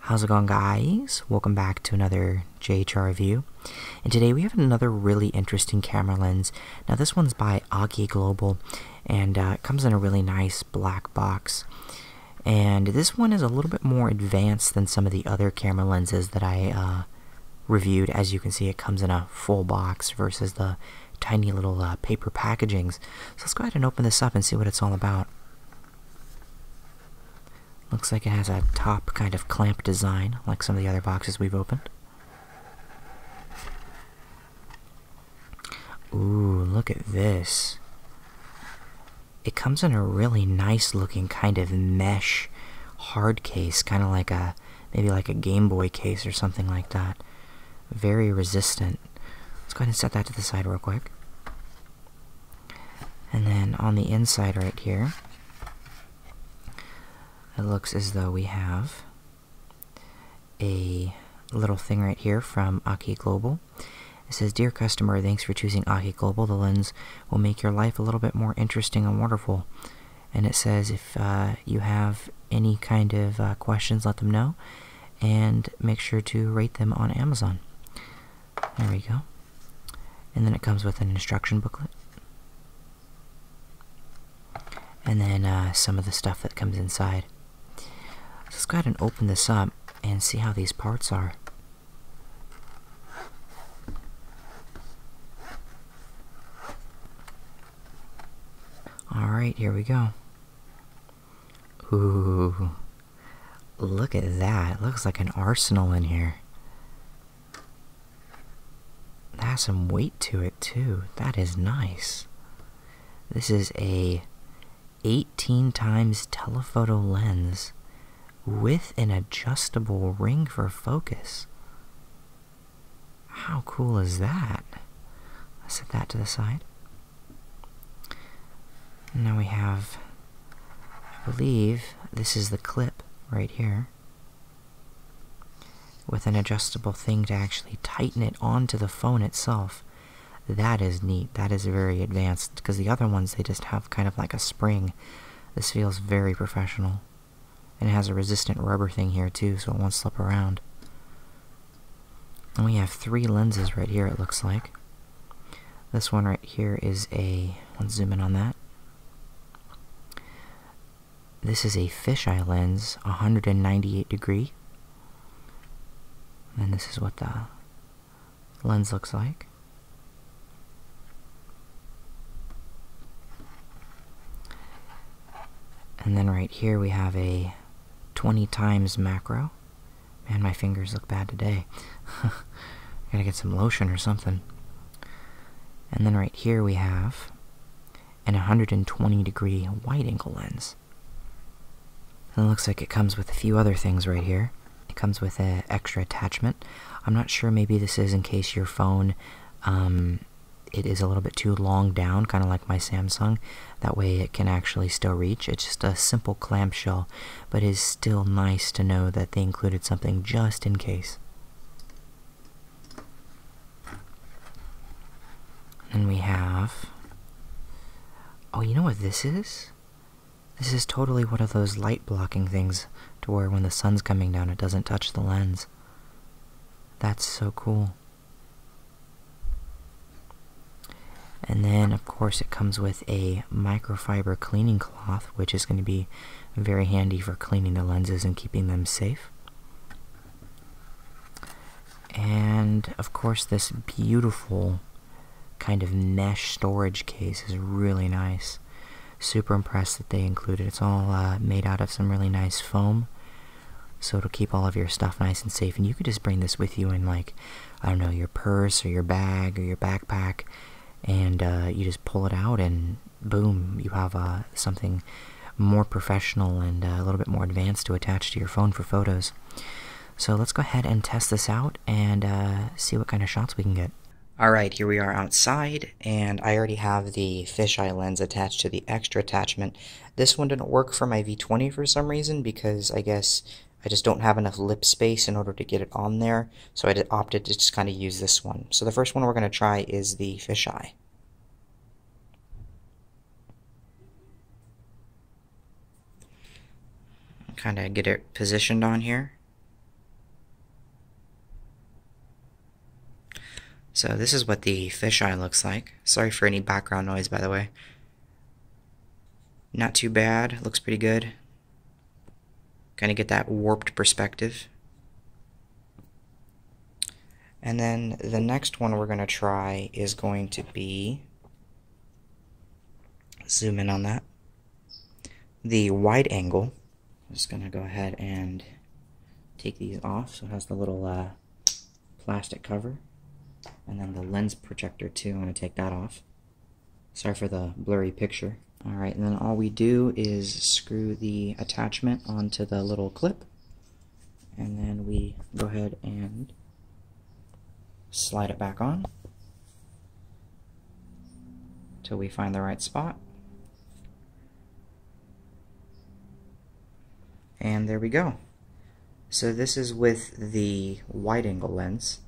How's it going guys? Welcome back to another JHR review. And today we have another really interesting camera lens. Now this one's by Agi Global and uh, it comes in a really nice black box. And this one is a little bit more advanced than some of the other camera lenses that I uh, reviewed. As you can see it comes in a full box versus the tiny little uh, paper packagings. So let's go ahead and open this up and see what it's all about. Looks like it has a top kind of clamp design, like some of the other boxes we've opened. Ooh, look at this. It comes in a really nice looking kind of mesh hard case, kind of like a, maybe like a Game Boy case or something like that. Very resistant. Let's go ahead and set that to the side real quick. And then on the inside right here, it looks as though we have a little thing right here from Aki Global. It says, Dear customer, thanks for choosing Aki Global. The lens will make your life a little bit more interesting and wonderful. And it says, if uh, you have any kind of uh, questions, let them know, and make sure to rate them on Amazon. There we go. And then it comes with an instruction booklet. And then uh, some of the stuff that comes inside. Let's go ahead and open this up and see how these parts are. Alright, here we go. Ooh. Look at that. It looks like an arsenal in here. That has some weight to it too. That is nice. This is a 18 times telephoto lens with an adjustable ring for focus. How cool is that? Let's set that to the side. now we have, I believe, this is the clip right here with an adjustable thing to actually tighten it onto the phone itself. That is neat. That is very advanced because the other ones they just have kind of like a spring. This feels very professional. And it has a resistant rubber thing here too so it won't slip around. And we have three lenses right here, it looks like. This one right here is a. Let's zoom in on that. This is a fisheye lens, 198 degree. And this is what the lens looks like. And then right here we have a 20 times macro. Man, my fingers look bad today. Gotta get some lotion or something. And then right here we have an 120 degree wide angle lens. it looks like it comes with a few other things right here. It comes with an extra attachment. I'm not sure, maybe this is in case your phone um, it is a little bit too long down, kind of like my Samsung. That way it can actually still reach. It's just a simple clamshell, but is still nice to know that they included something just in case. And we have... Oh, you know what this is? This is totally one of those light blocking things to where when the sun's coming down it doesn't touch the lens. That's so cool. And then, of course, it comes with a microfiber cleaning cloth, which is going to be very handy for cleaning the lenses and keeping them safe. And, of course, this beautiful kind of mesh storage case is really nice. Super impressed that they included. It's all uh, made out of some really nice foam so it'll keep all of your stuff nice and safe. And you could just bring this with you in, like, I don't know, your purse or your bag or your backpack. And uh, you just pull it out, and boom, you have uh, something more professional and uh, a little bit more advanced to attach to your phone for photos. So let's go ahead and test this out and see what kind of shots we can get. Alright, here we are outside, and I already have the fisheye lens attached to the extra attachment, this one didn't work for my V20 for some reason because I guess I just don't have enough lip space in order to get it on there, so I opted to just kind of use this one. So the first one we're going to try is the fisheye. Kind of get it positioned on here. So this is what the fisheye looks like. Sorry for any background noise, by the way. Not too bad, looks pretty good. Kind of get that warped perspective. And then the next one we're going to try is going to be, zoom in on that, the wide angle. I'm just going to go ahead and take these off so it has the little uh, plastic cover, and then the lens projector too. I'm going to take that off. Sorry for the blurry picture. Alright, and then all we do is screw the attachment onto the little clip, and then we go ahead and slide it back on till we find the right spot. And there we go. So this is with the wide angle lens,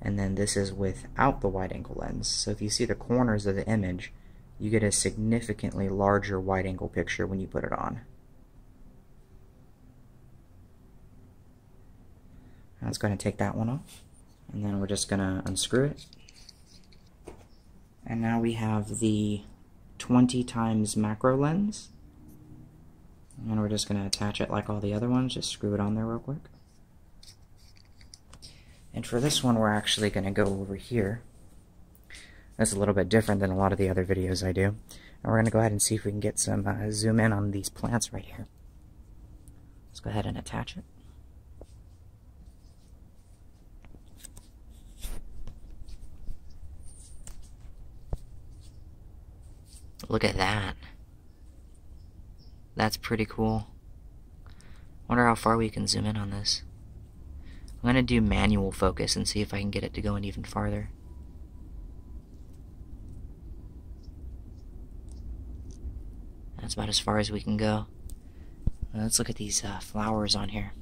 and then this is without the wide angle lens. So if you see the corners of the image, you get a significantly larger wide angle picture when you put it on. Now let's go ahead take that one off, and then we're just going to unscrew it. And now we have the 20 times macro lens. And we're just going to attach it like all the other ones, just screw it on there real quick. And for this one, we're actually going to go over here. That's a little bit different than a lot of the other videos I do. And we're going to go ahead and see if we can get some uh, zoom in on these plants right here. Let's go ahead and attach it. Look at that. That's pretty cool. Wonder how far we can zoom in on this. I'm gonna do manual focus and see if I can get it to go in even farther. That's about as far as we can go. Let's look at these uh, flowers on here.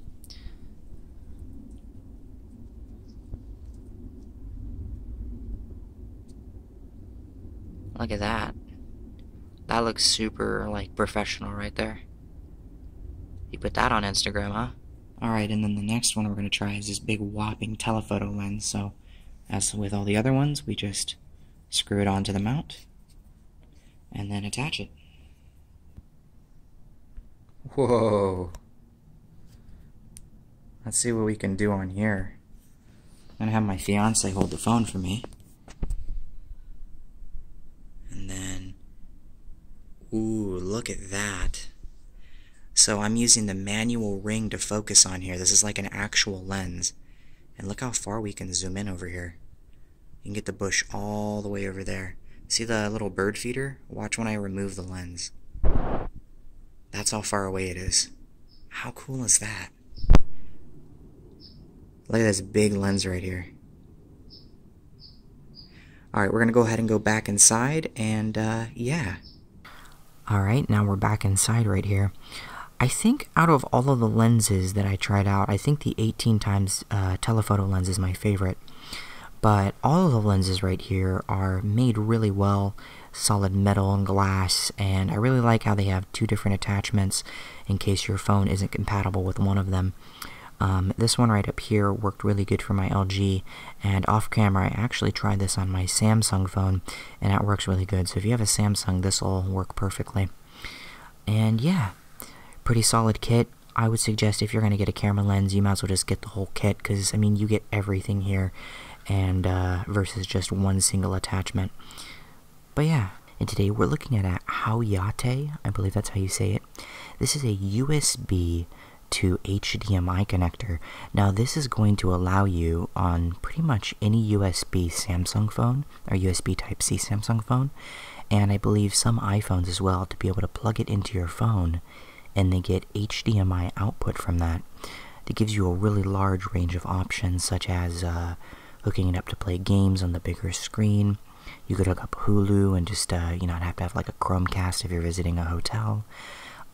Look at that. That looks super, like, professional right there. You put that on Instagram, huh? Alright, and then the next one we're going to try is this big whopping telephoto lens. So, as with all the other ones, we just screw it onto the mount and then attach it. Whoa. Let's see what we can do on here. I'm gonna have my fiance hold the phone for me. And then, ooh, look at that. So I'm using the manual ring to focus on here. This is like an actual lens. And look how far we can zoom in over here. You can get the bush all the way over there. See the little bird feeder? Watch when I remove the lens. That's how far away it is. How cool is that? Look at this big lens right here. Alright, we're going to go ahead and go back inside, and uh, yeah. Alright, now we're back inside right here. I think out of all of the lenses that I tried out, I think the 18 times uh, telephoto lens is my favorite. But all of the lenses right here are made really well, solid metal and glass, and I really like how they have two different attachments in case your phone isn't compatible with one of them. Um, this one right up here worked really good for my LG, and off camera I actually tried this on my Samsung phone, and that works really good. So if you have a Samsung, this will work perfectly. And yeah, pretty solid kit. I would suggest if you're going to get a camera lens, you might as well just get the whole kit because, I mean, you get everything here and uh, versus just one single attachment. But yeah, and today we're looking at a Haoyate, I believe that's how you say it. This is a USB to HDMI connector. Now this is going to allow you on pretty much any USB Samsung phone or USB Type-C Samsung phone and I believe some iPhones as well to be able to plug it into your phone and they get HDMI output from that. It gives you a really large range of options, such as uh, hooking it up to play games on the bigger screen. You could hook up Hulu and just, uh, you know, have to have like a Chromecast if you're visiting a hotel.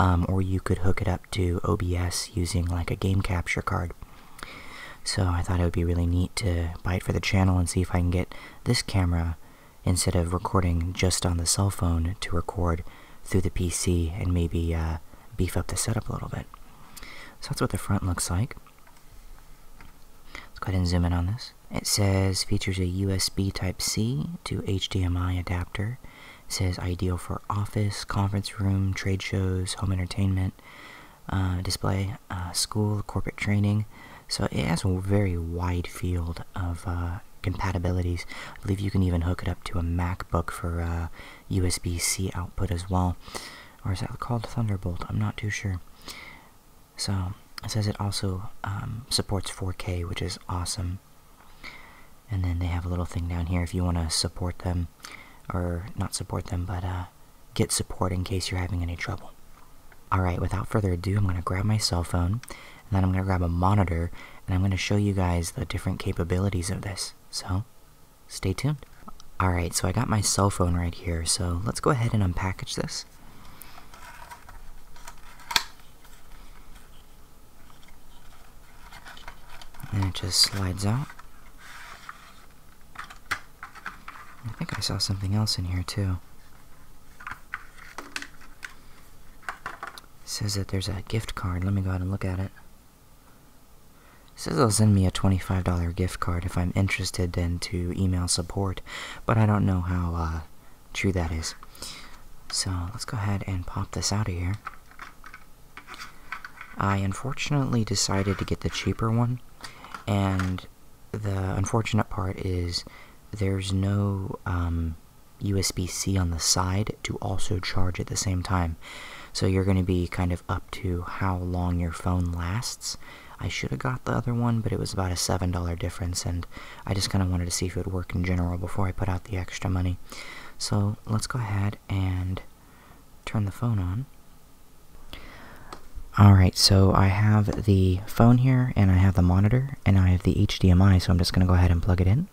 Um, or you could hook it up to OBS using like a game capture card. So I thought it would be really neat to buy it for the channel and see if I can get this camera instead of recording just on the cell phone to record through the PC and maybe uh, beef up the setup a little bit. So that's what the front looks like. Let's go ahead and zoom in on this. It says features a USB Type-C to HDMI adapter. says ideal for office, conference room, trade shows, home entertainment, uh, display, uh, school, corporate training, so it has a very wide field of uh, compatibilities. I believe you can even hook it up to a MacBook for USB-C uh, output as well. Or is that called Thunderbolt? I'm not too sure. So it says it also um, supports 4K, which is awesome. And then they have a little thing down here if you want to support them, or not support them, but uh, get support in case you're having any trouble. Alright, without further ado, I'm going to grab my cell phone and then I'm going to grab a monitor and I'm going to show you guys the different capabilities of this. So, stay tuned. Alright, so I got my cell phone right here, so let's go ahead and unpackage this. And it just slides out. I think I saw something else in here too. says that there's a gift card. Let me go ahead and look at it. Says they'll send me a $25 gift card if I'm interested and to email support, but I don't know how uh, true that is. So let's go ahead and pop this out of here. I unfortunately decided to get the cheaper one, and the unfortunate part is there's no USB um, C on the side to also charge at the same time. So you're going to be kind of up to how long your phone lasts. I should have got the other one, but it was about a $7 difference, and I just kind of wanted to see if it would work in general before I put out the extra money. So let's go ahead and turn the phone on. Alright, so I have the phone here, and I have the monitor, and I have the HDMI, so I'm just going to go ahead and plug it in.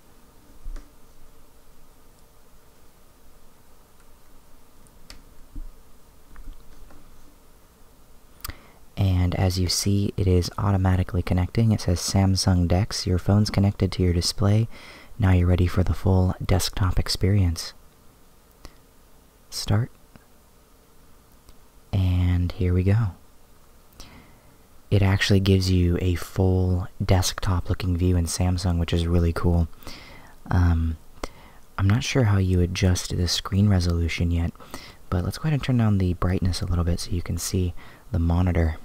And as you see, it is automatically connecting. It says Samsung DeX, your phone's connected to your display. Now you're ready for the full desktop experience. Start. And here we go. It actually gives you a full desktop looking view in Samsung, which is really cool. Um, I'm not sure how you adjust the screen resolution yet, but let's go ahead and turn down the brightness a little bit so you can see the monitor.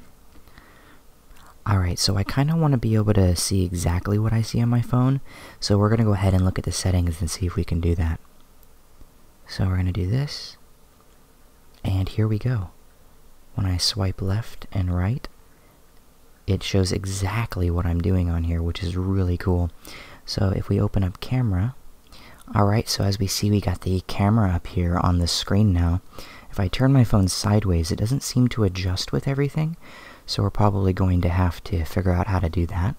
Alright, so I kind of want to be able to see exactly what I see on my phone, so we're going to go ahead and look at the settings and see if we can do that. So we're going to do this. And here we go. When I swipe left and right, it shows exactly what I'm doing on here, which is really cool. So if we open up camera, alright, so as we see, we got the camera up here on the screen now. If I turn my phone sideways, it doesn't seem to adjust with everything, so we're probably going to have to figure out how to do that.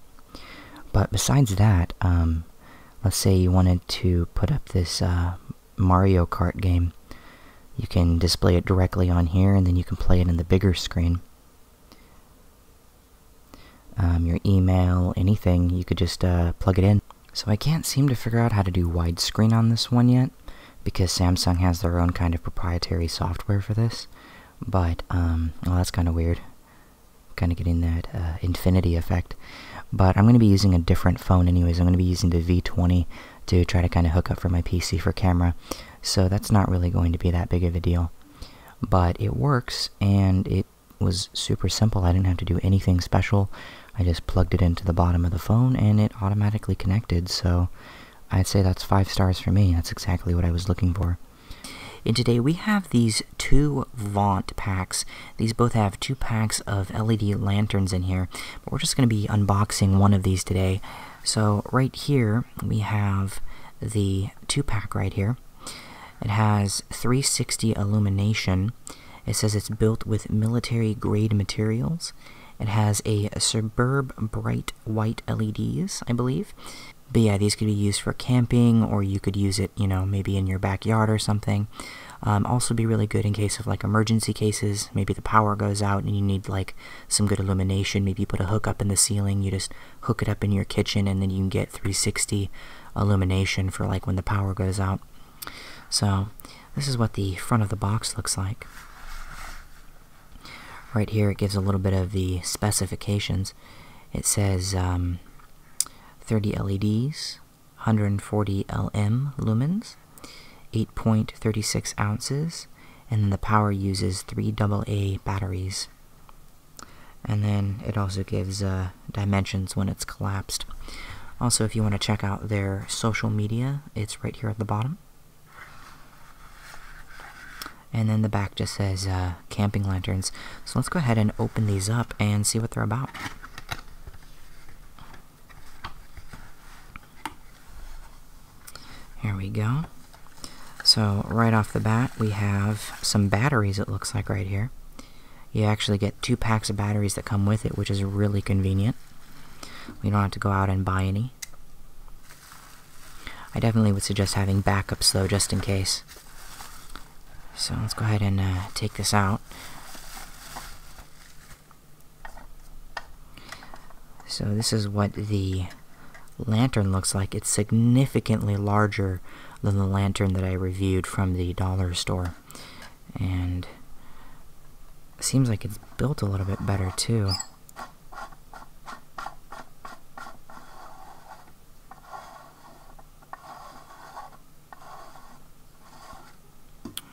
But besides that, um, let's say you wanted to put up this uh, Mario Kart game. You can display it directly on here, and then you can play it in the bigger screen. Um, your email, anything, you could just uh, plug it in. So I can't seem to figure out how to do widescreen on this one yet, because Samsung has their own kind of proprietary software for this. But, um, well, that's kind of weird kind of getting that uh, infinity effect. But I'm going to be using a different phone anyways. I'm going to be using the V20 to try to kind of hook up for my PC for camera. So that's not really going to be that big of a deal. But it works, and it was super simple. I didn't have to do anything special. I just plugged it into the bottom of the phone, and it automatically connected. So I'd say that's five stars for me. That's exactly what I was looking for. And today we have these two Vaunt packs. These both have two packs of LED lanterns in here. But we're just going to be unboxing one of these today. So right here we have the two pack right here. It has 360 illumination. It says it's built with military grade materials. It has a superb Bright White LEDs, I believe. But yeah, these could be used for camping, or you could use it, you know, maybe in your backyard or something. Um, also, be really good in case of like emergency cases. Maybe the power goes out and you need like some good illumination. Maybe you put a hook up in the ceiling, you just hook it up in your kitchen, and then you can get 360 illumination for like when the power goes out. So, this is what the front of the box looks like. Right here, it gives a little bit of the specifications. It says um, 30 LEDs, 140 LM lumens, 8.36 ounces, and then the power uses three double A batteries. And then it also gives uh, dimensions when it's collapsed. Also, if you want to check out their social media, it's right here at the bottom and then the back just says uh, camping lanterns. So let's go ahead and open these up and see what they're about. Here we go. So right off the bat, we have some batteries it looks like right here. You actually get two packs of batteries that come with it, which is really convenient. We don't have to go out and buy any. I definitely would suggest having backups though, just in case. So let's go ahead and uh, take this out. So this is what the lantern looks like. It's significantly larger than the lantern that I reviewed from the dollar store. And seems like it's built a little bit better too.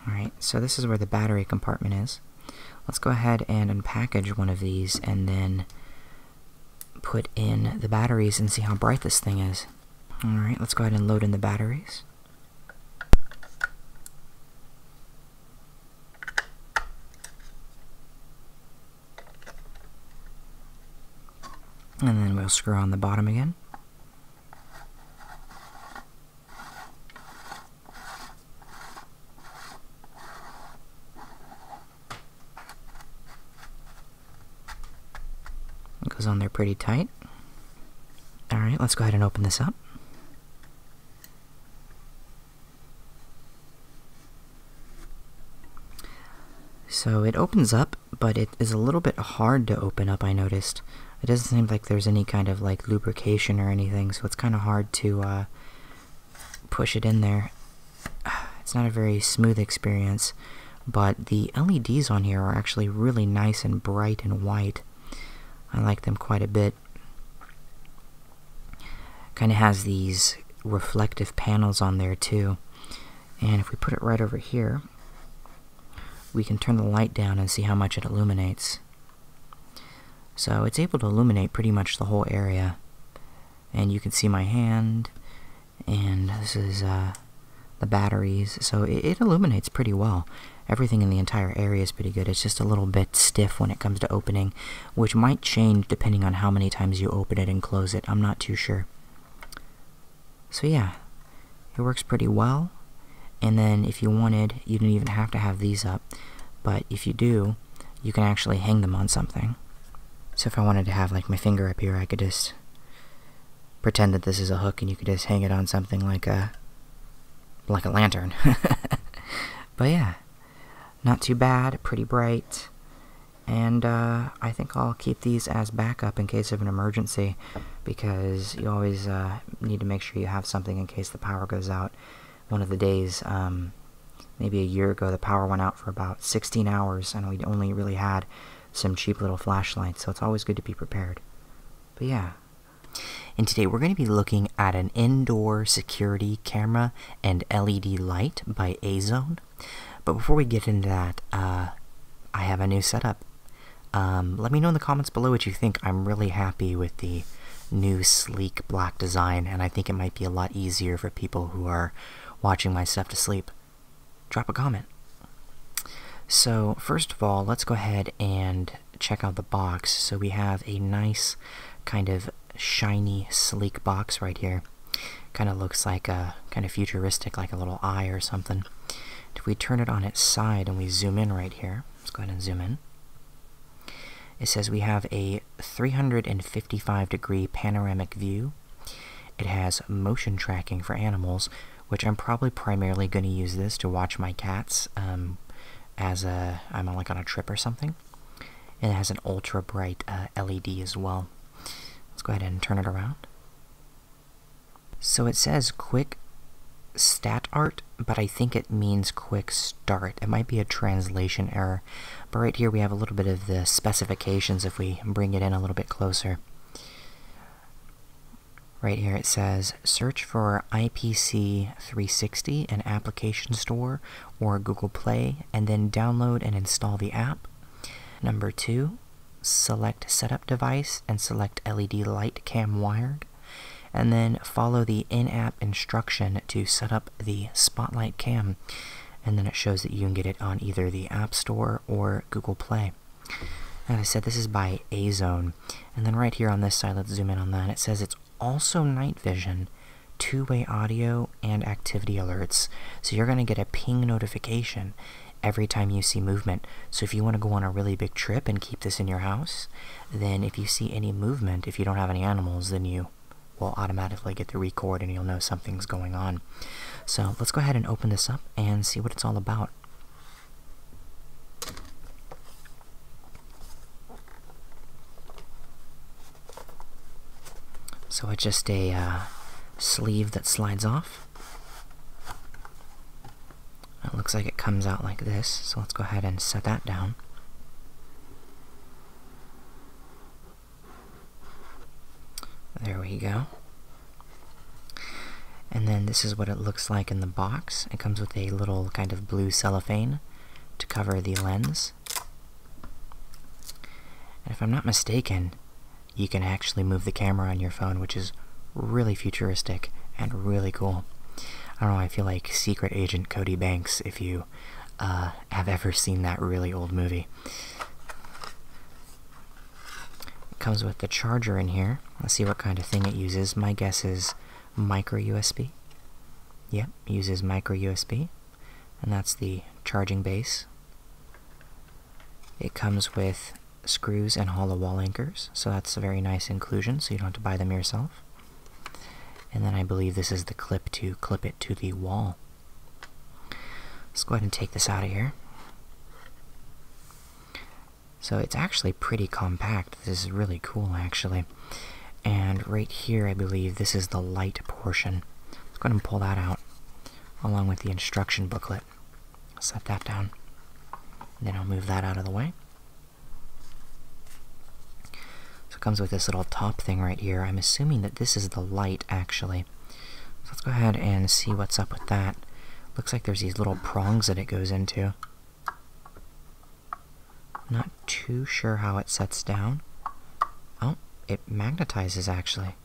Alright, so this is where the battery compartment is. Let's go ahead and unpackage one of these and then put in the batteries and see how bright this thing is. Alright, let's go ahead and load in the batteries. And then we'll screw on the bottom again. It goes on there pretty tight. Alright, let's go ahead and open this up. So it opens up, but it is a little bit hard to open up, I noticed. It doesn't seem like there's any kind of like lubrication or anything, so it's kind of hard to uh, push it in there. It's not a very smooth experience, but the LEDs on here are actually really nice and bright and white. I like them quite a bit. Kind of has these reflective panels on there too. And if we put it right over here, we can turn the light down and see how much it illuminates. So it's able to illuminate pretty much the whole area. And you can see my hand, and this is uh, the batteries, so it illuminates pretty well. Everything in the entire area is pretty good. It's just a little bit stiff when it comes to opening, which might change depending on how many times you open it and close it. I'm not too sure. So yeah, it works pretty well. And then if you wanted, you didn't even have to have these up. But if you do, you can actually hang them on something. So if I wanted to have like my finger up here, I could just pretend that this is a hook and you could just hang it on something like a like a lantern. but yeah, not too bad, pretty bright. And uh, I think I'll keep these as backup in case of an emergency because you always uh, need to make sure you have something in case the power goes out one of the days. Um, maybe a year ago, the power went out for about 16 hours and we only really had some cheap little flashlights, so it's always good to be prepared. But yeah. And today we're going to be looking at an indoor security camera and LED light by Azone. But before we get into that, uh, I have a new setup. Um, let me know in the comments below what you think. I'm really happy with the new sleek black design, and I think it might be a lot easier for people who are watching my stuff to sleep. Drop a comment. So, first of all, let's go ahead and check out the box. So, we have a nice kind of shiny, sleek box right here. Kind of looks like a kind of futuristic, like a little eye or something. If we turn it on its side and we zoom in right here, let's go ahead and zoom in. It says we have a 355 degree panoramic view. It has motion tracking for animals, which I'm probably primarily going to use this to watch my cats um, as i I'm like on a trip or something. it has an ultra bright uh, LED as well. Let's go ahead and turn it around. So it says quick stat art, but I think it means quick start. It might be a translation error. But right here we have a little bit of the specifications if we bring it in a little bit closer. Right here it says search for IPC 360 in Application Store or Google Play and then download and install the app. Number two, select setup device and select LED light cam wired, and then follow the in app instruction to set up the spotlight cam. And then it shows that you can get it on either the App Store or Google Play. As I said, this is by Azone. And then right here on this side, let's zoom in on that. It says it's also night vision, two way audio, and activity alerts. So you're going to get a ping notification every time you see movement. So if you want to go on a really big trip and keep this in your house, then if you see any movement, if you don't have any animals, then you will automatically get the record and you'll know something's going on. So let's go ahead and open this up and see what it's all about. So it's just a uh, sleeve that slides off. It looks like it comes out like this, so let's go ahead and set that down. There we go. And then this is what it looks like in the box. It comes with a little kind of blue cellophane to cover the lens. And if I'm not mistaken, you can actually move the camera on your phone, which is really futuristic and really cool. I don't know, I feel like Secret Agent Cody Banks if you uh, have ever seen that really old movie. It comes with the charger in here. Let's see what kind of thing it uses. My guess is micro USB. Yep, uses micro USB and that's the charging base. It comes with screws and hollow wall anchors, so that's a very nice inclusion, so you don't have to buy them yourself. And then I believe this is the clip to clip it to the wall. Let's go ahead and take this out of here. So it's actually pretty compact. This is really cool, actually. And right here, I believe this is the light portion. Let's go ahead and pull that out along with the instruction booklet. set that down. Then I'll move that out of the way. So it comes with this little top thing right here. I'm assuming that this is the light, actually. So let's go ahead and see what's up with that. Looks like there's these little prongs that it goes into. Not too sure how it sets down. Oh, it magnetizes, actually.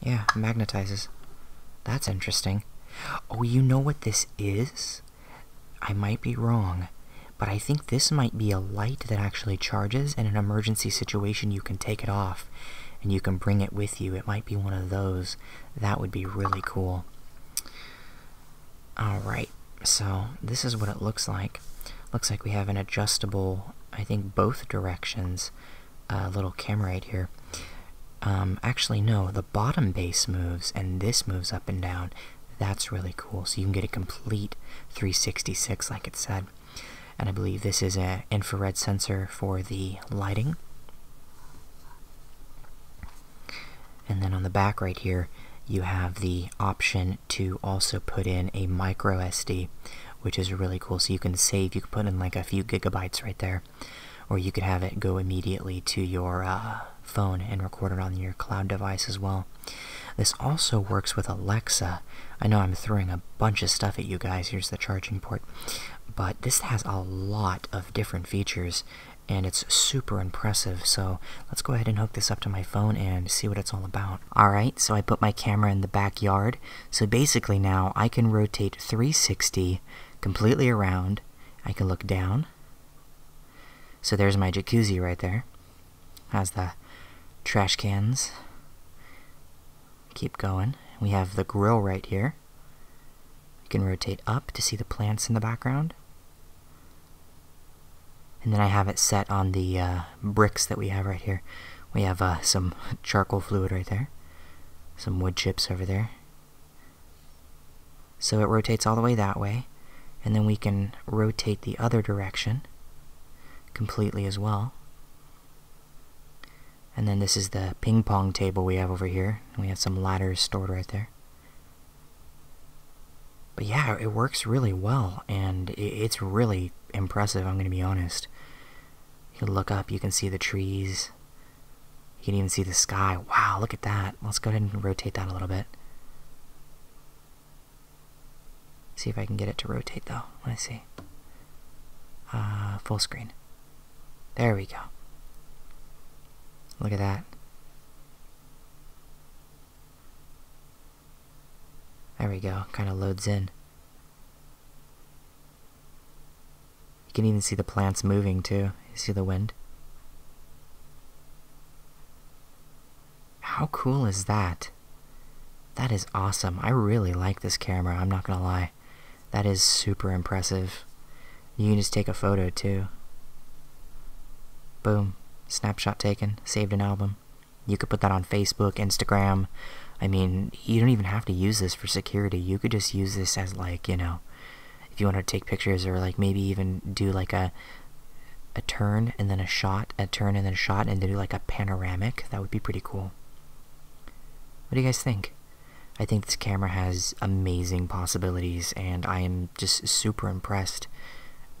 Yeah, magnetizes. That's interesting. Oh, you know what this is? I might be wrong, but I think this might be a light that actually charges. In an emergency situation, you can take it off and you can bring it with you. It might be one of those. That would be really cool. Alright, so this is what it looks like. Looks like we have an adjustable, I think both directions, uh, little camera right here. Um, actually, no, the bottom base moves and this moves up and down. That's really cool. So you can get a complete 366, like it said. And I believe this is an infrared sensor for the lighting. And then on the back right here, you have the option to also put in a micro SD, which is really cool. So you can save, you can put in like a few gigabytes right there, or you could have it go immediately to your uh, phone and record it on your cloud device as well. This also works with Alexa. I know I'm throwing a bunch of stuff at you guys. Here's the charging port. But this has a lot of different features and it's super impressive. So let's go ahead and hook this up to my phone and see what it's all about. Alright, so I put my camera in the backyard. So basically now I can rotate 360 completely around. I can look down. So there's my jacuzzi right there. Has the trash cans. Keep going. We have the grill right here. You can rotate up to see the plants in the background. And then I have it set on the uh, bricks that we have right here. We have uh, some charcoal fluid right there, some wood chips over there. So it rotates all the way that way, and then we can rotate the other direction completely as well. And then this is the ping pong table we have over here. We have some ladders stored right there. But yeah, it works really well, and it's really impressive, I'm going to be honest. You look up, you can see the trees, you can even see the sky. Wow, look at that. Let's go ahead and rotate that a little bit. See if I can get it to rotate, though. Let me see. Uh, full screen. There we go. Look at that. There we go, kind of loads in. You can even see the plants moving too. You see the wind? How cool is that? That is awesome. I really like this camera, I'm not gonna lie. That is super impressive. You can just take a photo too. Boom. Snapshot taken. Saved an album. You could put that on Facebook, Instagram. I mean, you don't even have to use this for security. You could just use this as like, you know, if you want to take pictures or like maybe even do like a a turn and then a shot, a turn and then a shot and do like a panoramic. That would be pretty cool. What do you guys think? I think this camera has amazing possibilities and I am just super impressed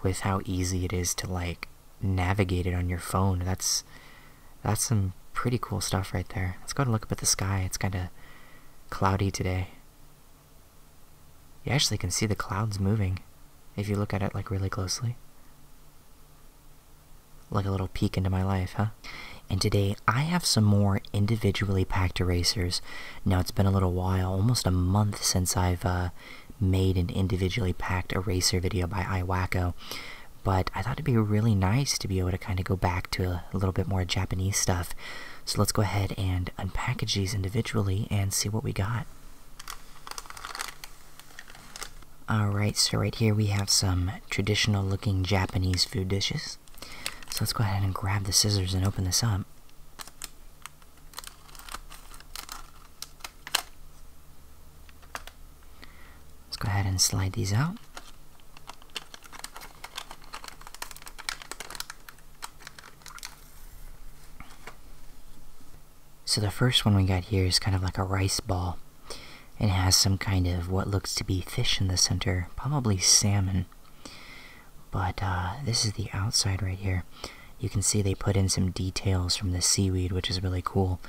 with how easy it is to like navigate it on your phone. That's that's some pretty cool stuff right there. Let's go and look up at the sky. It's kind of cloudy today. You actually can see the clouds moving if you look at it like really closely. Like a little peek into my life, huh? And today I have some more individually packed erasers. Now it's been a little while, almost a month since I've uh, made an individually packed eraser video by iWacko, but I thought it'd be really nice to be able to kind of go back to a, a little bit more Japanese stuff. So let's go ahead and unpackage these individually and see what we got. Alright, so right here we have some traditional looking Japanese food dishes. So let's go ahead and grab the scissors and open this up. Let's go ahead and slide these out. So the first one we got here is kind of like a rice ball and it has some kind of what looks to be fish in the center, probably salmon. But uh, this is the outside right here. You can see they put in some details from the seaweed, which is really cool.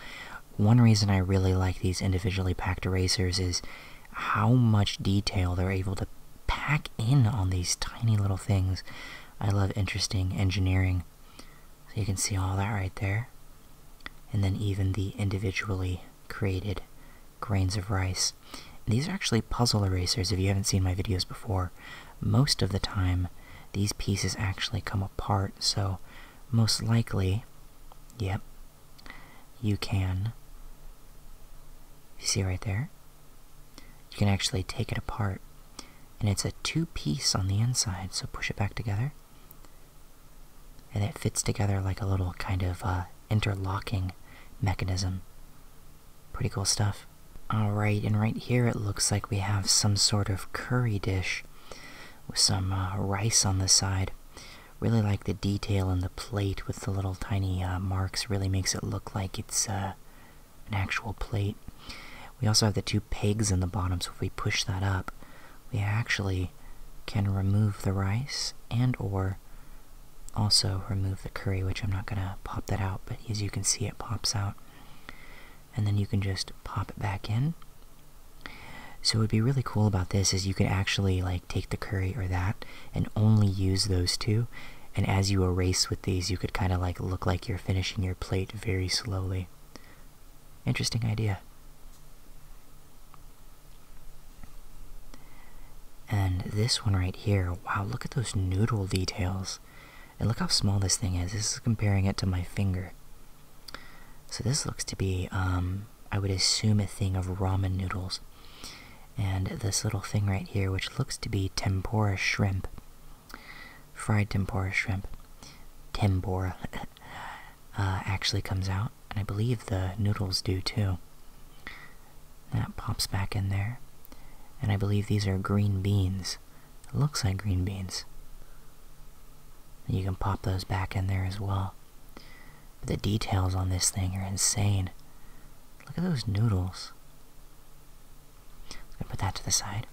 One reason I really like these individually packed erasers is how much detail they're able to pack in on these tiny little things. I love interesting engineering. So you can see all that right there. And then even the individually created grains of rice. these are actually puzzle erasers if you haven't seen my videos before. Most of the time, these pieces actually come apart, so most likely, yep, you can, see right there? You can actually take it apart. And it's a two piece on the inside, so push it back together. And it fits together like a little kind of uh, interlocking mechanism. Pretty cool stuff. Alright, and right here it looks like we have some sort of curry dish with some uh, rice on the side. Really like the detail in the plate with the little tiny uh, marks, really makes it look like it's uh, an actual plate. We also have the two pegs in the bottom, so if we push that up, we actually can remove the rice and or also remove the curry, which I'm not going to pop that out, but as you can see it pops out. And then you can just pop it back in. So what'd be really cool about this is you could actually like take the curry or that and only use those two. And as you erase with these, you could kind of like look like you're finishing your plate very slowly. Interesting idea. And this one right here, wow, look at those noodle details. And look how small this thing is. This is comparing it to my finger. So this looks to be, um, I would assume a thing of ramen noodles. And this little thing right here, which looks to be tempura shrimp. Fried tempura shrimp. Tempura. Uh, actually comes out. And I believe the noodles do too. That pops back in there. And I believe these are green beans. looks like green beans. you can pop those back in there as well. But the details on this thing are insane. Look at those noodles. i put that to the side.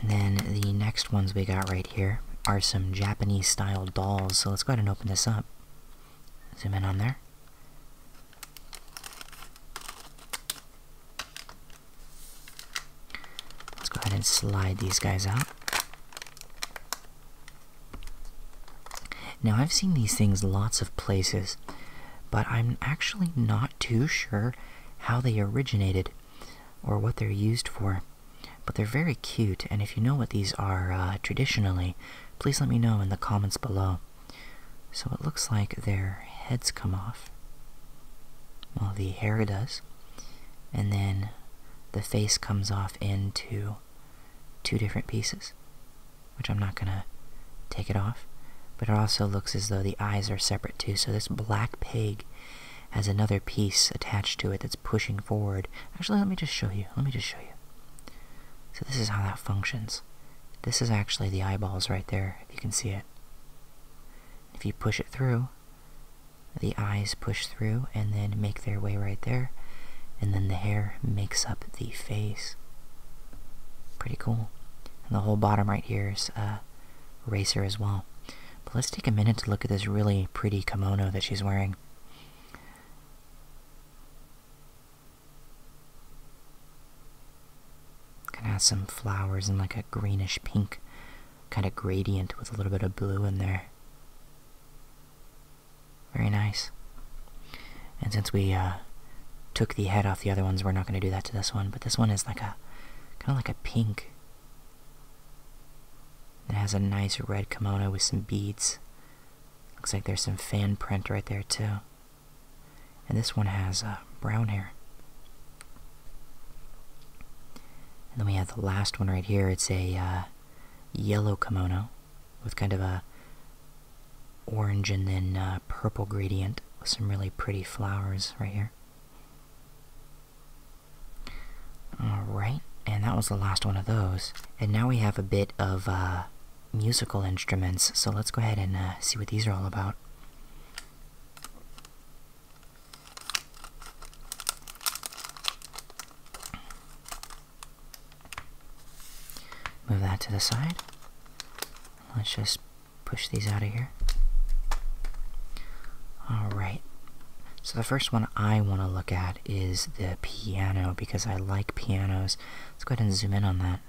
And then the next ones we got right here are some Japanese style dolls, so let's go ahead and open this up. Zoom in on there. Let's go ahead and slide these guys out. Now I've seen these things lots of places, but I'm actually not too sure how they originated or what they're used for. But they're very cute, and if you know what these are uh, traditionally, please let me know in the comments below. So it looks like their heads come off. Well, the hair does. And then the face comes off into two different pieces, which I'm not gonna take it off. But it also looks as though the eyes are separate too. So this black pig has another piece attached to it that's pushing forward. Actually, let me just show you. Let me just show you. So this is how that functions. This is actually the eyeballs right there, if you can see it. If you push it through, the eyes push through and then make their way right there, and then the hair makes up the face. Pretty cool. And the whole bottom right here is a uh, racer as well. But let's take a minute to look at this really pretty kimono that she's wearing. Kind of has some flowers and like a greenish pink kind of gradient with a little bit of blue in there. Very nice. And since we uh, took the head off the other ones, we're not going to do that to this one. But this one is like a kind of like a pink it has a nice red kimono with some beads. Looks like there's some fan print right there, too. And this one has uh, brown hair. And then we have the last one right here. It's a uh, yellow kimono with kind of a orange and then uh, purple gradient with some really pretty flowers right here. Alright, and that was the last one of those. And now we have a bit of uh, musical instruments, so let's go ahead and uh, see what these are all about. Move that to the side. Let's just push these out of here. Alright, so the first one I want to look at is the piano because I like pianos. Let's go ahead and zoom in on that.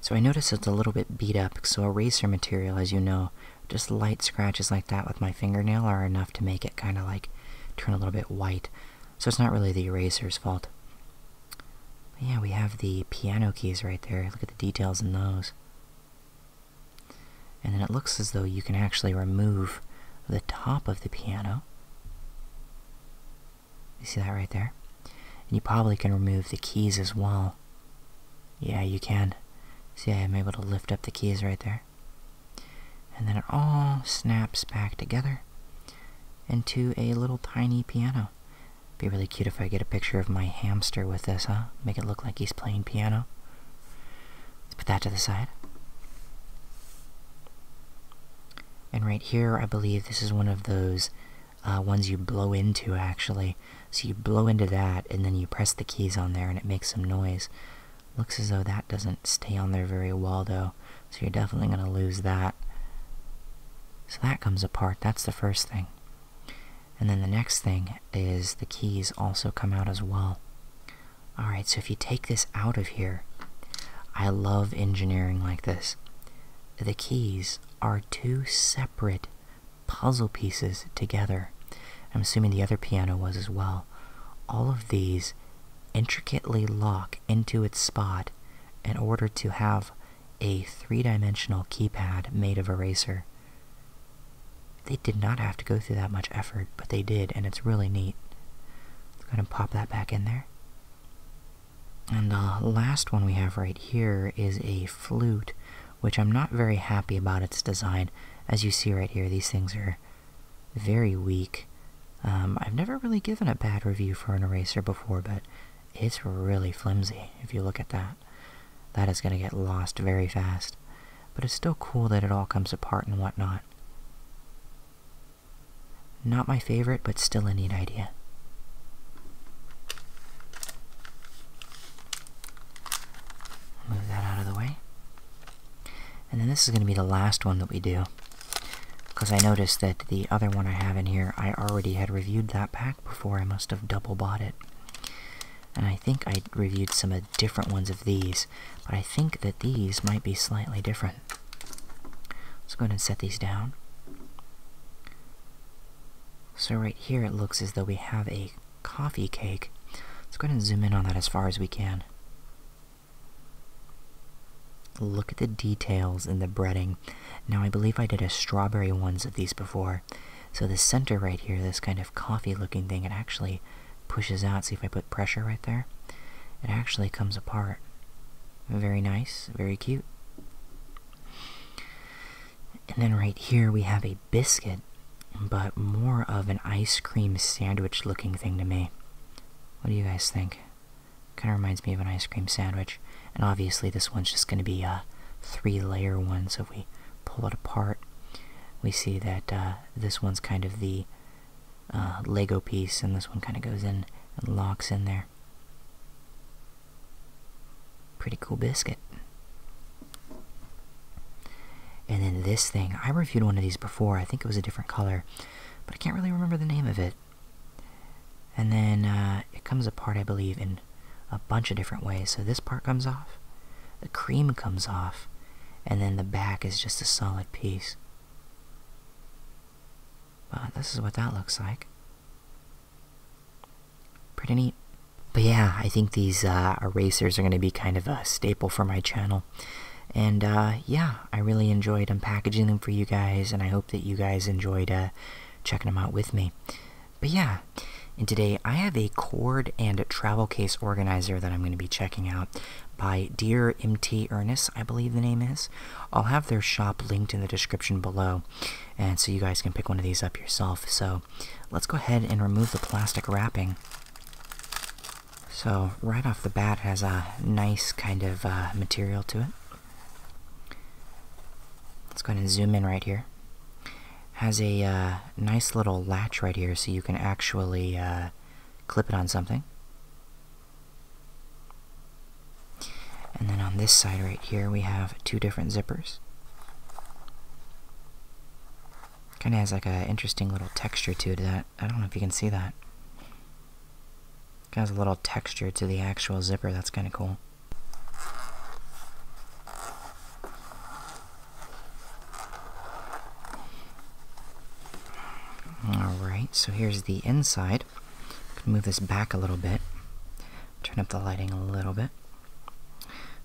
So I notice it's a little bit beat up, so eraser material, as you know, just light scratches like that with my fingernail are enough to make it kind of like turn a little bit white. So it's not really the eraser's fault. yeah, we have the piano keys right there. Look at the details in those. And then it looks as though you can actually remove the top of the piano. You see that right there? And you probably can remove the keys as well. Yeah, you can. See, I'm able to lift up the keys right there. And then it all snaps back together into a little tiny piano. Be really cute if I get a picture of my hamster with this, huh? Make it look like he's playing piano. Let's put that to the side. And right here, I believe this is one of those uh, ones you blow into, actually. So you blow into that, and then you press the keys on there, and it makes some noise. Looks as though that doesn't stay on there very well, though. So you're definitely going to lose that. So that comes apart. That's the first thing. And then the next thing is the keys also come out as well. Alright, so if you take this out of here, I love engineering like this. The keys are two separate puzzle pieces together. I'm assuming the other piano was as well. All of these intricately lock into its spot in order to have a three dimensional keypad made of eraser. They did not have to go through that much effort, but they did, and it's really neat. I'm gonna pop that back in there. And the last one we have right here is a flute, which I'm not very happy about its design. As you see right here, these things are very weak. Um, I've never really given a bad review for an eraser before, but it's really flimsy if you look at that. That is going to get lost very fast but it's still cool that it all comes apart and whatnot. Not my favorite, but still a neat idea. Move that out of the way. And then this is going to be the last one that we do. Because I noticed that the other one I have in here, I already had reviewed that pack before. I must have double bought it. And I think I reviewed some different ones of these but I think that these might be slightly different. Let's go ahead and set these down. So right here it looks as though we have a coffee cake. Let's go ahead and zoom in on that as far as we can. Look at the details in the breading. Now I believe I did a strawberry ones of these before. So the center right here, this kind of coffee looking thing, it actually pushes out. See if I put pressure right there. It actually comes apart. Very nice, very cute. And then right here we have a biscuit, but more of an ice cream sandwich looking thing to me. What do you guys think? Kind of reminds me of an ice cream sandwich. And obviously this one's just going to be a three layer one, so if we pull it apart, we see that uh, this one's kind of the uh, Lego piece, and this one kind of goes in and locks in there. Pretty cool biscuit. And then this thing, I reviewed one of these before, I think it was a different color, but I can't really remember the name of it. And then uh, it comes apart, I believe, in a bunch of different ways. So this part comes off, the cream comes off, and then the back is just a solid piece. Wow, this is what that looks like. Pretty neat. But yeah, I think these uh, erasers are going to be kind of a staple for my channel. And uh, yeah, I really enjoyed unpackaging them for you guys, and I hope that you guys enjoyed uh, checking them out with me. But yeah, and today I have a cord and travel case organizer that I'm going to be checking out by Dear MT Ernest, I believe the name is. I'll have their shop linked in the description below, and so you guys can pick one of these up yourself. So let's go ahead and remove the plastic wrapping. So right off the bat has a nice kind of uh, material to it. Let's go and zoom in right here. Has a uh, nice little latch right here so you can actually uh, clip it on something. And then on this side right here, we have two different zippers. Kind of has like a interesting little texture to that. I don't know if you can see that. It has a little texture to the actual zipper. That's kind of cool. Alright, so here's the inside. move this back a little bit. Turn up the lighting a little bit.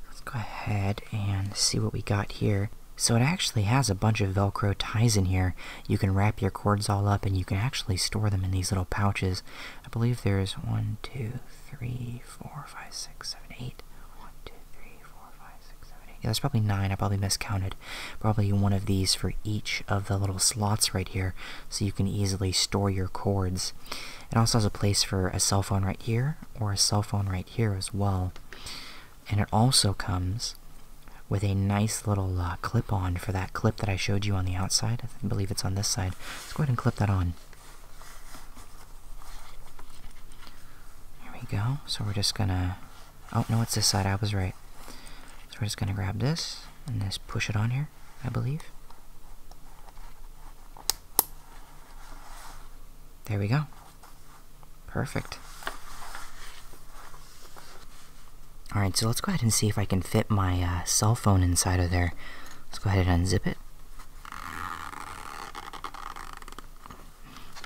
Let's go ahead and see what we got here. So it actually has a bunch of Velcro ties in here. You can wrap your cords all up and you can actually store them in these little pouches. I believe there's one, two, three, four, five, six, seven, eight. One, two, three four, five, six, seven, eight. there's probably nine. I probably miscounted. Probably one of these for each of the little slots right here, so you can easily store your cords. It also has a place for a cell phone right here, or a cell phone right here as well. And it also comes with a nice little uh, clip-on for that clip that I showed you on the outside. I believe it's on this side. Let's go ahead and clip that on. Here we go. So we're just gonna. Oh, no, it's this side. I was right. So we're just gonna grab this and just push it on here, I believe. There we go. Perfect. Alright, so let's go ahead and see if I can fit my uh, cell phone inside of there. Let's go ahead and unzip it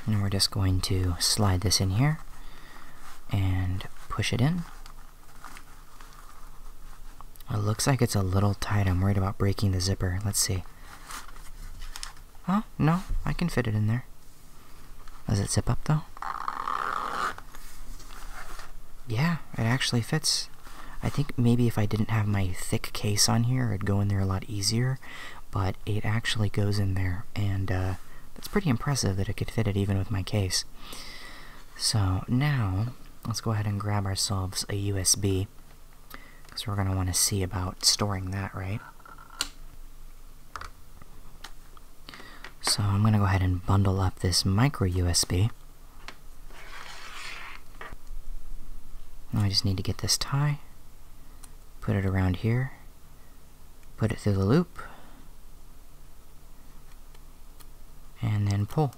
and we're just going to slide this in here and push it in it looks like it's a little tight I'm worried about breaking the zipper let's see Huh? Oh, no I can fit it in there does it zip up though yeah it actually fits I think maybe if I didn't have my thick case on here it'd go in there a lot easier but it actually goes in there, and uh, that's pretty impressive that it could fit it even with my case. So now, let's go ahead and grab ourselves a USB, because we're going to want to see about storing that, right? So I'm going to go ahead and bundle up this micro USB. Now I just need to get this tie put it around here, put it through the loop, and then pull.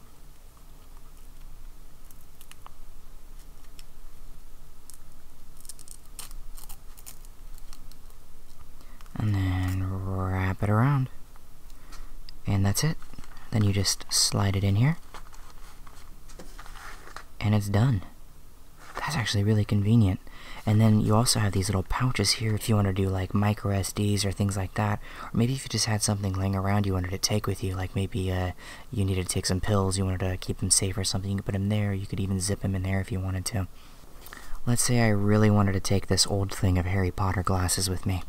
And then wrap it around. And that's it. Then you just slide it in here, and it's done. That's actually really convenient. And then you also have these little pouches here if you want to do like micro SDs or things like that. Or maybe if you just had something laying around you wanted to take with you, like maybe uh, you needed to take some pills, you wanted to keep them safe or something, you could put them there. You could even zip them in there if you wanted to. Let's say I really wanted to take this old thing of Harry Potter glasses with me.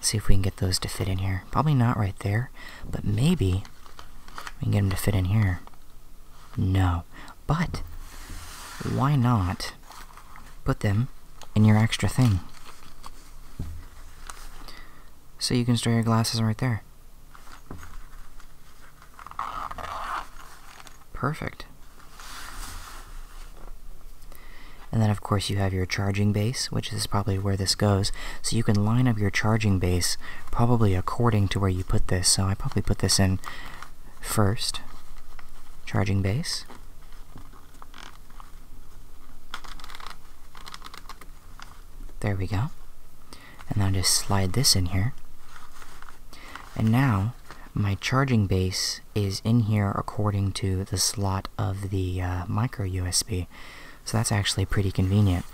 see if we can get those to fit in here. Probably not right there. But maybe we can get them to fit in here. No. But why not put them in your extra thing? So you can store your glasses right there. Perfect. And then of course you have your charging base, which is probably where this goes. So you can line up your charging base probably according to where you put this, so I probably put this in first. Charging base. There we go. And then just slide this in here. And now my charging base is in here according to the slot of the uh, micro USB. So that's actually pretty convenient.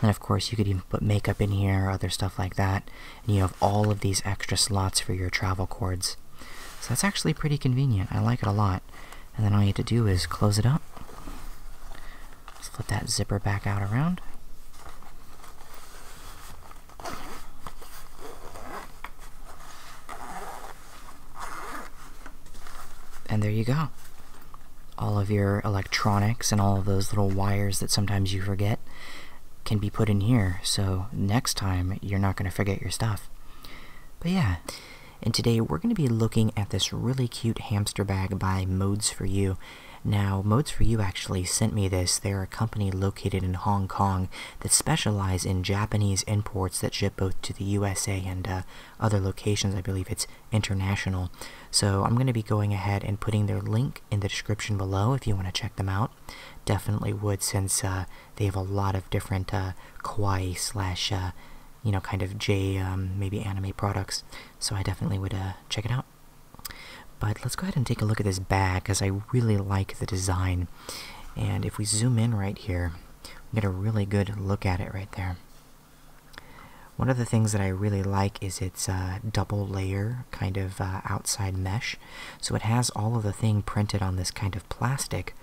And of course, you could even put makeup in here or other stuff like that. And you have all of these extra slots for your travel cords. So that's actually pretty convenient. I like it a lot. And then all you have to do is close it up. flip that zipper back out around. And there you go all of your electronics and all of those little wires that sometimes you forget can be put in here so next time you're not going to forget your stuff. But yeah, and today we're going to be looking at this really cute hamster bag by Modes for You. Now, Modes for You actually sent me this. They're a company located in Hong Kong that specialize in Japanese imports that ship both to the USA and uh, other locations. I believe it's International. So I'm going to be going ahead and putting their link in the description below if you want to check them out. Definitely would since uh, they have a lot of different uh, kawaii slash, uh, you know, kind of J um, maybe anime products. So I definitely would uh, check it out. But let's go ahead and take a look at this bag because I really like the design. And if we zoom in right here, we get a really good look at it right there. One of the things that I really like is its uh, double layer kind of uh, outside mesh. So it has all of the thing printed on this kind of plastic.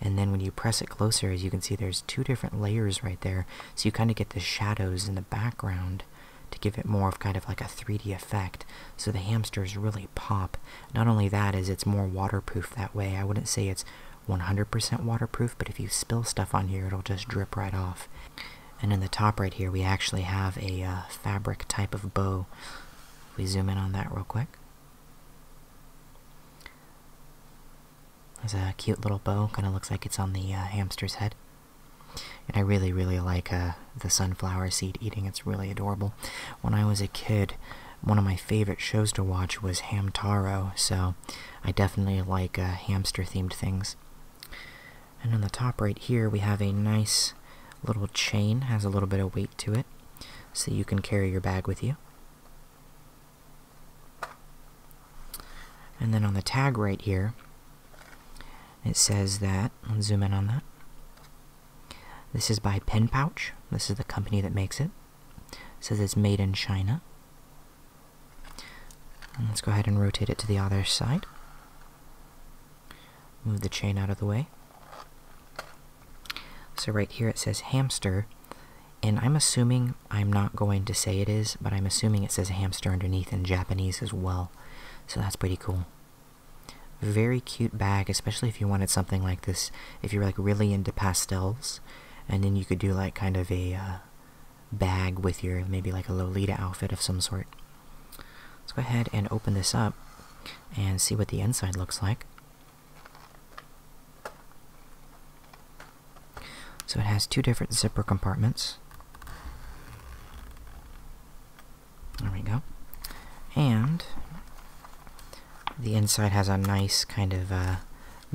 And then when you press it closer, as you can see, there's two different layers right there. So you kind of get the shadows in the background to give it more of kind of like a 3D effect. So the hamsters really pop. Not only that is it's more waterproof that way. I wouldn't say it's 100% waterproof, but if you spill stuff on here, it'll just drip right off. And in the top right here, we actually have a uh, fabric type of bow. If we zoom in on that real quick. There's a cute little bow, kind of looks like it's on the uh, hamster's head. And I really, really like uh, the sunflower seed eating, it's really adorable. When I was a kid, one of my favorite shows to watch was Hamtaro, so I definitely like hamster-themed things. And on the top right here, we have a nice little chain, has a little bit of weight to it, so you can carry your bag with you. And then on the tag right here, it says that, let's zoom in on that. This is by Pen Pouch. This is the company that makes it. it says it's made in China let's go ahead and rotate it to the other side. Move the chain out of the way. So right here it says hamster, and I'm assuming, I'm not going to say it is, but I'm assuming it says hamster underneath in Japanese as well. So that's pretty cool. Very cute bag, especially if you wanted something like this, if you're like really into pastels, and then you could do like kind of a, uh, bag with your maybe like a Lolita outfit of some sort. Let's go ahead and open this up and see what the inside looks like. So it has two different zipper compartments. There we go. And the inside has a nice kind of uh,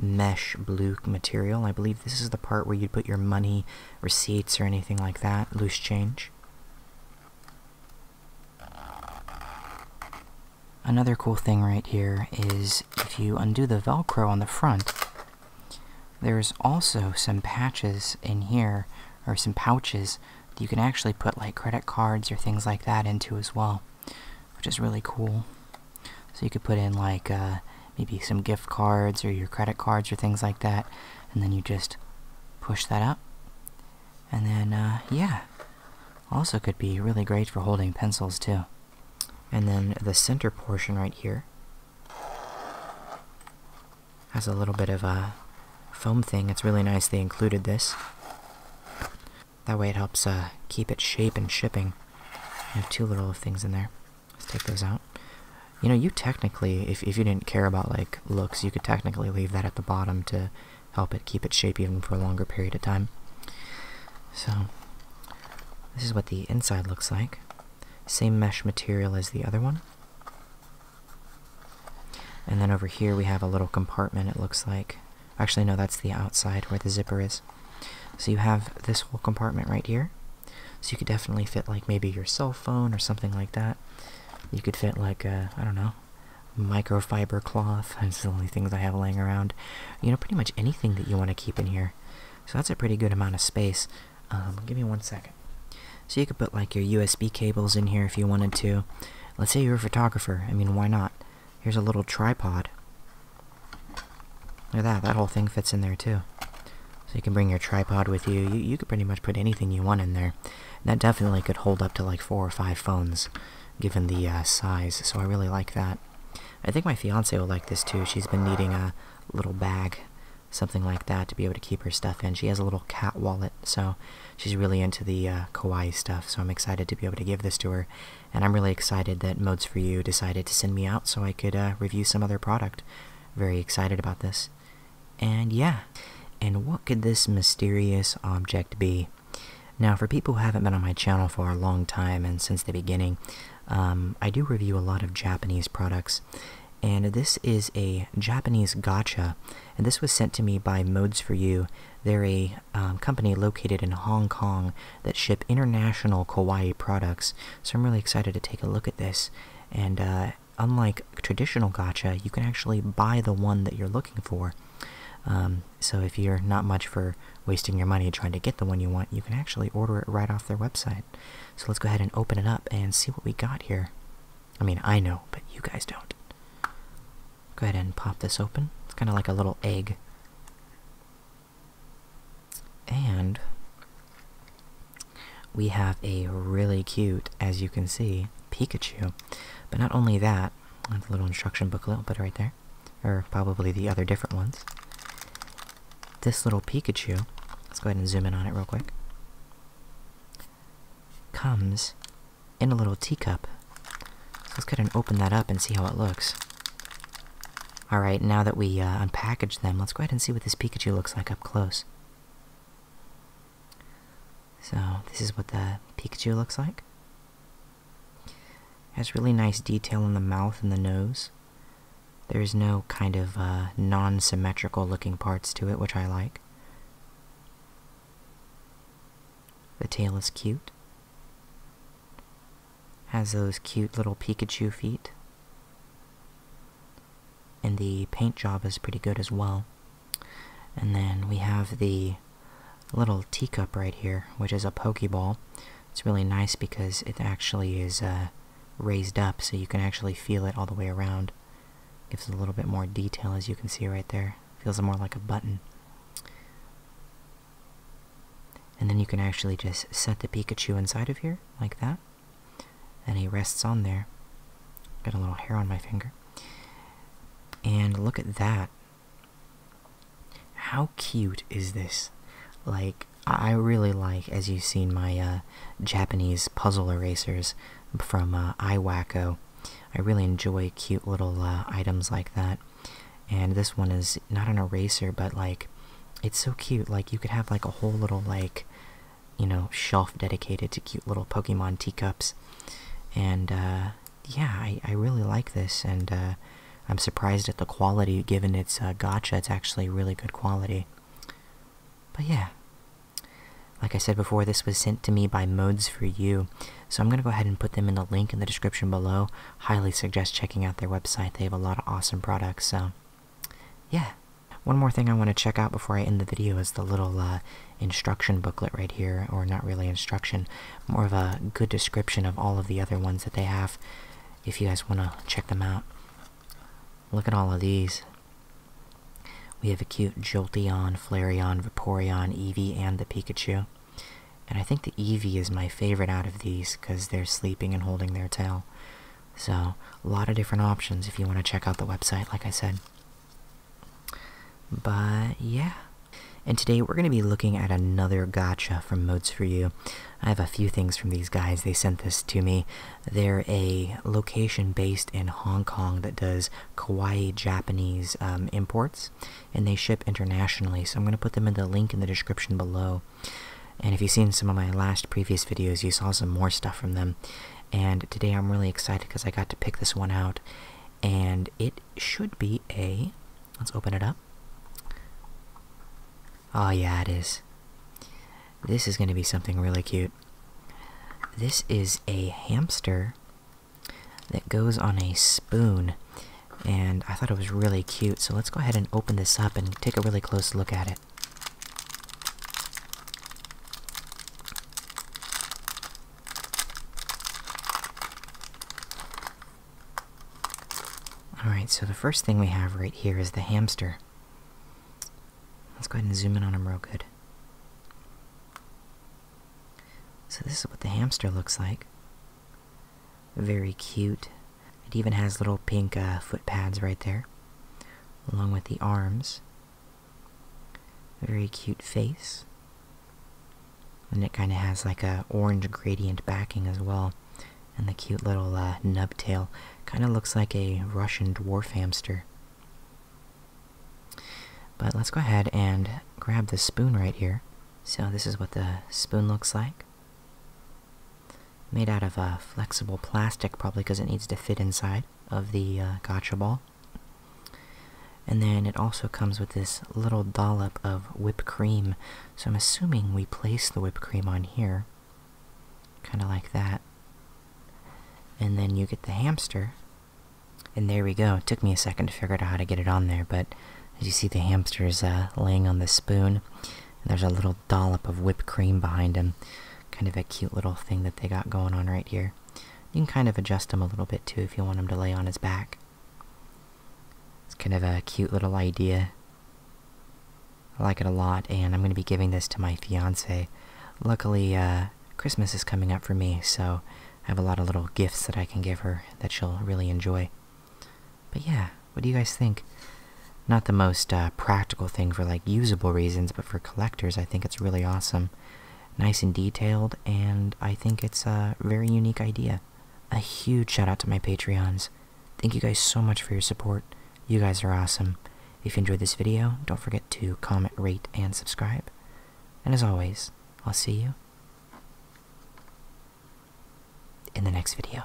mesh blue material. I believe this is the part where you'd put your money receipts or anything like that, loose change. Another cool thing right here is if you undo the Velcro on the front, there's also some patches in here, or some pouches, that you can actually put like credit cards or things like that into as well, which is really cool. So you could put in like uh, maybe some gift cards or your credit cards or things like that, and then you just push that up. And then, uh, yeah, also could be really great for holding pencils too. And then the center portion right here has a little bit of a foam thing. It's really nice they included this. That way it helps uh, keep its shape and shipping. I have two little things in there. Let's take those out. You know, you technically, if, if you didn't care about, like, looks, you could technically leave that at the bottom to help it keep its shape even for a longer period of time. So, this is what the inside looks like. Same mesh material as the other one. And then over here we have a little compartment, it looks like. Actually, no, that's the outside where the zipper is. So you have this whole compartment right here. So you could definitely fit like maybe your cell phone or something like that. You could fit like uh, I don't know, microfiber cloth. That's the only things I have laying around. You know, pretty much anything that you want to keep in here. So that's a pretty good amount of space. Um, give me one second. So you could put like your USB cables in here if you wanted to. Let's say you're a photographer. I mean, why not? Here's a little tripod. Look at that, that whole thing fits in there too. So you can bring your tripod with you. You you could pretty much put anything you want in there. that definitely could hold up to like four or five phones, given the uh, size. So I really like that. I think my fiance will like this too. She's been needing a little bag, something like that, to be able to keep her stuff in. She has a little cat wallet, so she's really into the uh, kawaii stuff. So I'm excited to be able to give this to her, and I'm really excited that Modes for You decided to send me out so I could uh, review some other product very excited about this. And yeah, and what could this mysterious object be? Now, for people who haven't been on my channel for a long time and since the beginning, um, I do review a lot of Japanese products. And this is a Japanese gotcha, and this was sent to me by Modes for You. They're a um, company located in Hong Kong that ship international Kauai products. So I'm really excited to take a look at this. And uh, unlike traditional gacha, you can actually buy the one that you're looking for. Um, so if you're not much for wasting your money trying to get the one you want, you can actually order it right off their website. So let's go ahead and open it up and see what we got here. I mean, I know, but you guys don't. Go ahead and pop this open. It's kind of like a little egg. And we have a really cute, as you can see, Pikachu. But not only that, a little instruction booklet, I'll put right there, or probably the other different ones. This little Pikachu, let's go ahead and zoom in on it real quick, comes in a little teacup. So let's go ahead and open that up and see how it looks. All right, now that we uh, unpackaged them, let's go ahead and see what this Pikachu looks like up close. So, this is what the Pikachu looks like. It has really nice detail in the mouth and the nose. There is no kind of uh, non symmetrical looking parts to it, which I like. The tail is cute has those cute little Pikachu feet. And the paint job is pretty good as well. And then we have the little teacup right here, which is a Pokeball. It's really nice because it actually is uh, raised up, so you can actually feel it all the way around. Gives a little bit more detail, as you can see right there. Feels more like a button. And then you can actually just set the Pikachu inside of here, like that and he rests on there. Got a little hair on my finger. And look at that. How cute is this? Like, I really like, as you've seen, my uh, Japanese puzzle erasers from uh, I really enjoy cute little uh, items like that. And this one is not an eraser, but like it's so cute. Like you could have like a whole little like, you know, shelf dedicated to cute little Pokemon teacups, and uh, yeah, I I really like this, and uh, I'm surprised at the quality given its uh, gotcha. It's actually really good quality. But yeah, like I said before, this was sent to me by Modes for You, so I'm gonna go ahead and put them in the link in the description below. Highly suggest checking out their website. They have a lot of awesome products. So yeah. One more thing I want to check out before I end the video is the little uh, instruction booklet right here, or not really instruction, more of a good description of all of the other ones that they have if you guys want to check them out. Look at all of these. We have a cute Jolteon, Flareon, Vaporeon, Eevee, and the Pikachu. And I think the Eevee is my favorite out of these because they're sleeping and holding their tail. So, a lot of different options if you want to check out the website, like I said. But yeah. And today we're going to be looking at another gotcha from Modes for You. I have a few things from these guys. They sent this to me. They're a location based in Hong Kong that does kawaii Japanese um, imports, and they ship internationally. So I'm going to put them in the link in the description below. And if you've seen some of my last previous videos, you saw some more stuff from them. And today I'm really excited because I got to pick this one out. And it should be a. Let's open it up. Oh, yeah, it is. This is going to be something really cute. This is a hamster that goes on a spoon. And I thought it was really cute, so let's go ahead and open this up and take a really close look at it. Alright, so the first thing we have right here is the hamster. Let's go ahead and zoom in on him real good. So, this is what the hamster looks like. Very cute, it even has little pink uh, foot pads right there, along with the arms. Very cute face. And it kind of has like a orange gradient backing as well. And the cute little uh, nub tail kind of looks like a Russian dwarf hamster. But let's go ahead and grab the spoon right here. So this is what the spoon looks like made out of a uh, flexible plastic, probably because it needs to fit inside of the uh, gotcha ball. And then it also comes with this little dollop of whipped cream. So I'm assuming we place the whipped cream on here, kind of like that. And then you get the hamster. And there we go. It took me a second to figure out how to get it on there, but as you see, the hamster is uh, laying on the spoon. there's a little dollop of whipped cream behind him. Kind of a cute little thing that they got going on right here. You can kind of adjust them a little bit too if you want them to lay on his back. It's kind of a cute little idea. I like it a lot, and I'm going to be giving this to my fiance. Luckily, uh, Christmas is coming up for me, so I have a lot of little gifts that I can give her that she'll really enjoy. But yeah, what do you guys think? Not the most uh, practical thing for like usable reasons, but for collectors, I think it's really awesome. Nice and detailed, and I think it's a very unique idea. A huge shout out to my Patreons. Thank you guys so much for your support. You guys are awesome. If you enjoyed this video, don't forget to comment, rate, and subscribe. And as always, I'll see you in the next video.